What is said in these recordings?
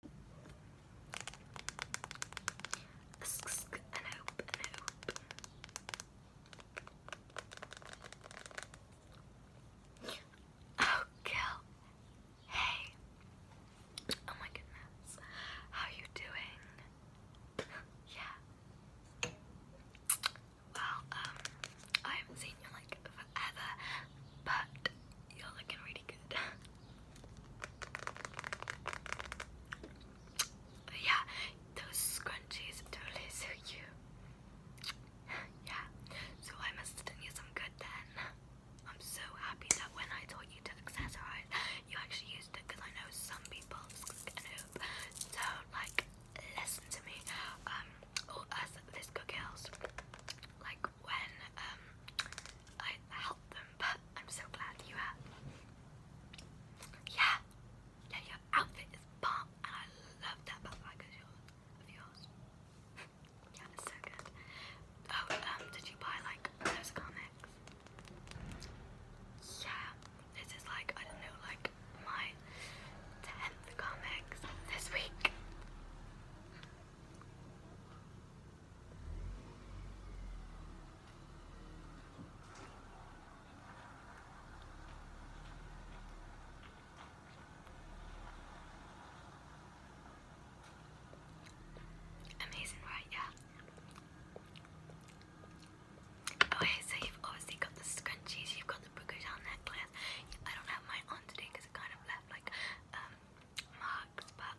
An Oh, Gil. Hey. Oh my goodness. How you doing? yeah. Well, um, I haven't seen you like forever, but you're looking pretty yeah, those scrunchies totally suit you. yeah, so I must have you some good then. I'm so happy that when I taught you to accessorize, you actually used it because I know some people don't like listen to me. Um, or us, Visco like when um I helped them, but I'm so glad you are. Yeah, yeah, your outfit is bomb, and I love that backpack of yours. Of yours. yeah, it's so good. Oh, um, did you buy like those comics? Yeah, this is like I don't know, like my tenth comics this week. Amazing, right? Yeah. Okay, so you've obviously got the scrunchies, you've got the Bugger down necklace. I don't have mine on today because it kind of left like um, marks, but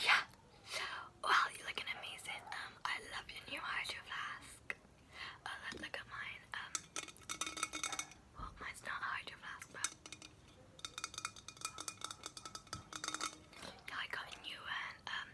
yeah. Well, you're amazing. Um, I love your new hydro flask. Oh, let's look at mine. Um, well, mine's not a but I got a new one, um,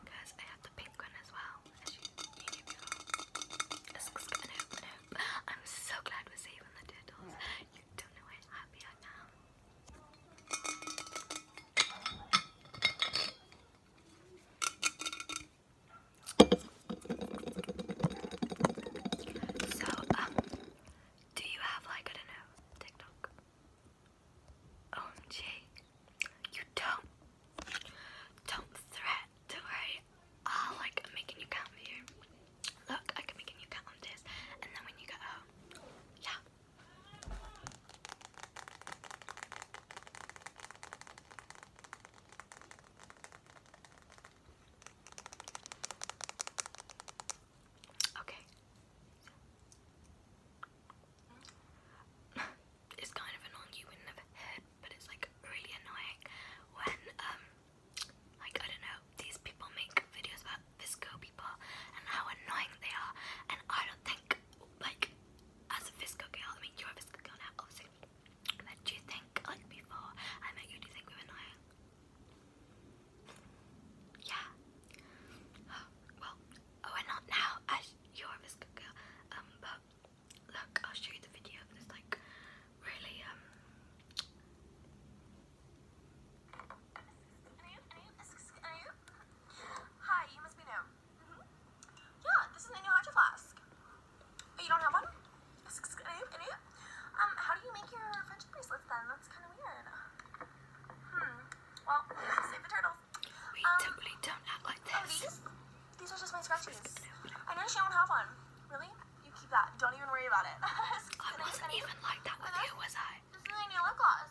because I had the pink one as well, as you, you knew before. Nope, I'm so glad we're saving the turtles. You don't know how I am. So, um, do you have like I don't know TikTok? OMG, you don't. Don't threat. Don't worry. Oh, i like make a new Look, I can make a new and then when you get home, oh, yeah. Okay. it's kind of annoying you wouldn't have heard, but it's like really annoying when um like I don't know, these people make videos about Visco people and how annoying they are and I don't think like as a Visco girl, I mean you're a Visco girl now obviously but do you think, like before I met you, think we were annoying? Yeah. well, oh, we're not now, as you're a good girl. Um, but look, I'll show you the video of like, really, um. Hi, you must be new. Mm-hmm. Yeah, this is my new hydro flask you don't have one? Um, how do you make your friendship bracelets then? That's kind of weird. Hmm. Well, save the turtles. We um, totally don't like oh, this. Oh, these? These are just my scrunchies. I noticed you don't have one. Really? You keep that. Don't even worry about it. I wasn't even like that with you, was I? This is my new lip gloss.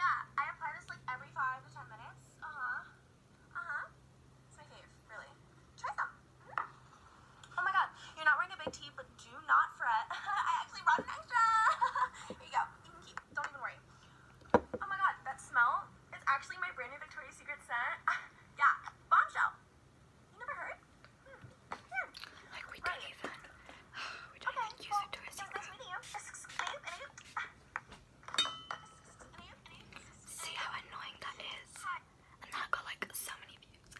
Yeah, I apply this like every five to ten minutes. Uh-huh. Uh-huh. It's my fave, really. Try some. Oh my god, you're not wearing a big tee, but do not fret. I actually brought an extra. Here you go. You can keep. Don't even worry. Oh my god, that smell is actually my brand new Victoria's Secret scent. yeah, bombshell. You never heard? Hmm, like we right. not even. okay, See how annoying that is and that got like so many views.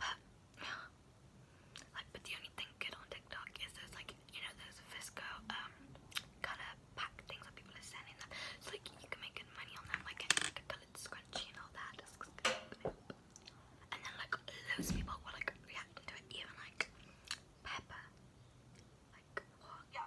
But like, but the only thing good on TikTok is those like you know those Fisco um pack things that people are selling. Them. So like you can make good money on them, like a colored scrunchie and all that. And then like loads of people were like reacting to it, even like Pepper. Like, oh, yeah.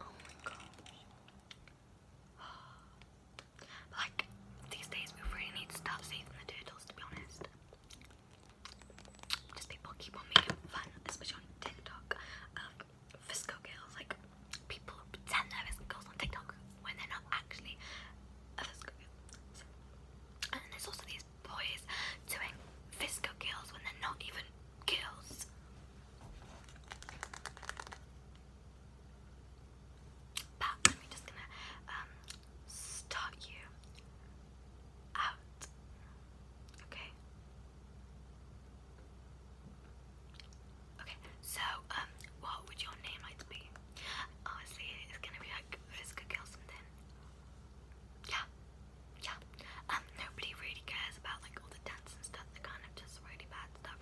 Oh my gosh. But like, these days we really need stuff safe from the turtles, to be honest. Just people keep on making fun, especially on TikTok, of Visco girls. Like, people pretend they're Visco girls on TikTok when they're not actually a Visco and then there's also these boys doing Visco girls when they're not even girls. But I'm just gonna um, start you out, okay? Okay, so um, what would your name like to be? Honestly, it's gonna be like Physical Girl something. Yeah, yeah, um, nobody really cares about like all the dance and stuff, they kind of just really bad stuff. I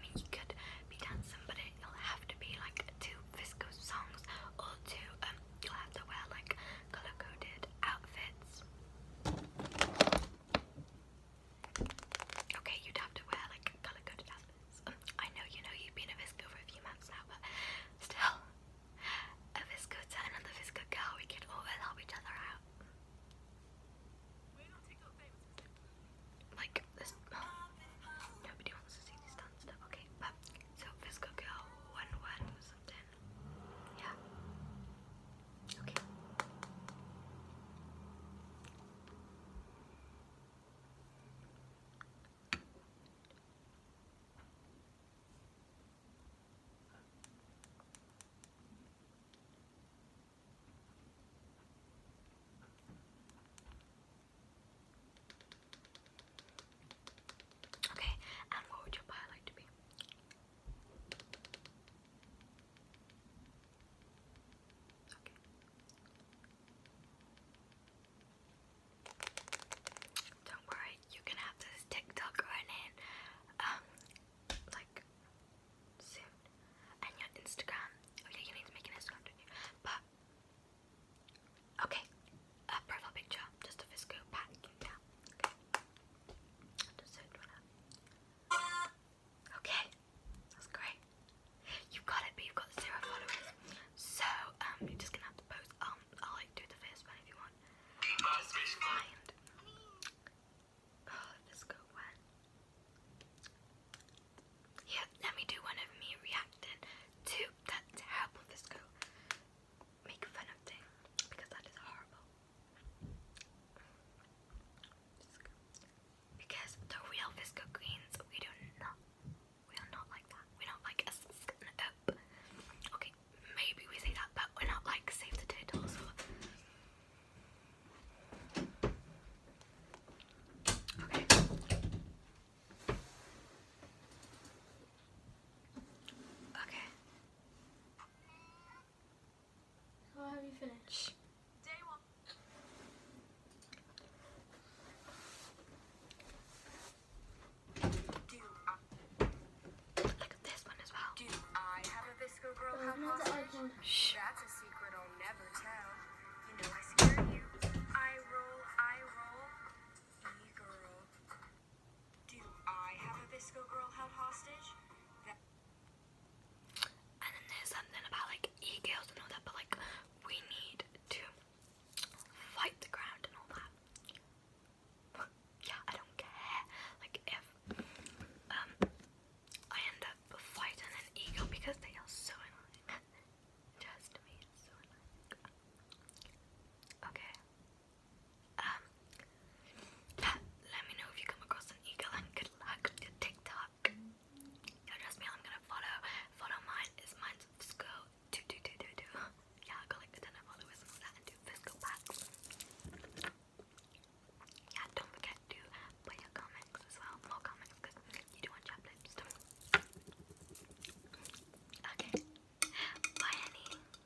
mean, you could be dancing, but it'll have to be like two Fisco songs or two, um, you'll have to wear like color coded outfits. Okay, you'd have to wear like color coded outfits. Um, I know you know you've been a Visco for a few months now, but still, a Visco Tan and the Visco Girl, we can always help each other out. Like, this. Oh, nobody wants to see this dance stuff. Okay, So, Visco Girl, one word Yeah. Okay. Okay, and what would your pie like to be? Okay. Don't worry, you can have this TikTok running, um, like and your Instagram. Okay, oh you need to make an Instagram, do But okay, a profile picture, just a Fisco pack, yeah. Okay, so Okay, that's great. You've got it, but you've got zero followers. So um, you're just gonna have to post. Um, i like do the first one if you want. Oh, let me do one of me reacting to that terrible Visco. Make fun of thing because that is horrible. Because the real Visco greens, we do not, we are not like that. We don't like a up. Okay, maybe we say that, but we're not like save the turtles Okay. Okay. How have you finished? Day one. Look at this one as well. Do I have a Visco girl oh, hot Shh. That's a secret I'll never tell. and then there's something about like e girls and that, but like we need to fight the ground and all that yeah, I don't care. Like if um, I end up fighting an eagle because they are so annoying. Just me, Okay. Um, let me know if you come across an eagle and good luck with TikTok. No, trust me, I'm gonna follow follow mine is mine's school do do do do do. Yeah, I got like a ton of followers and all that and do physical packs. Yeah, don't forget to put your comments as well. More comments because you do want chap lips. Okay. Bye honey.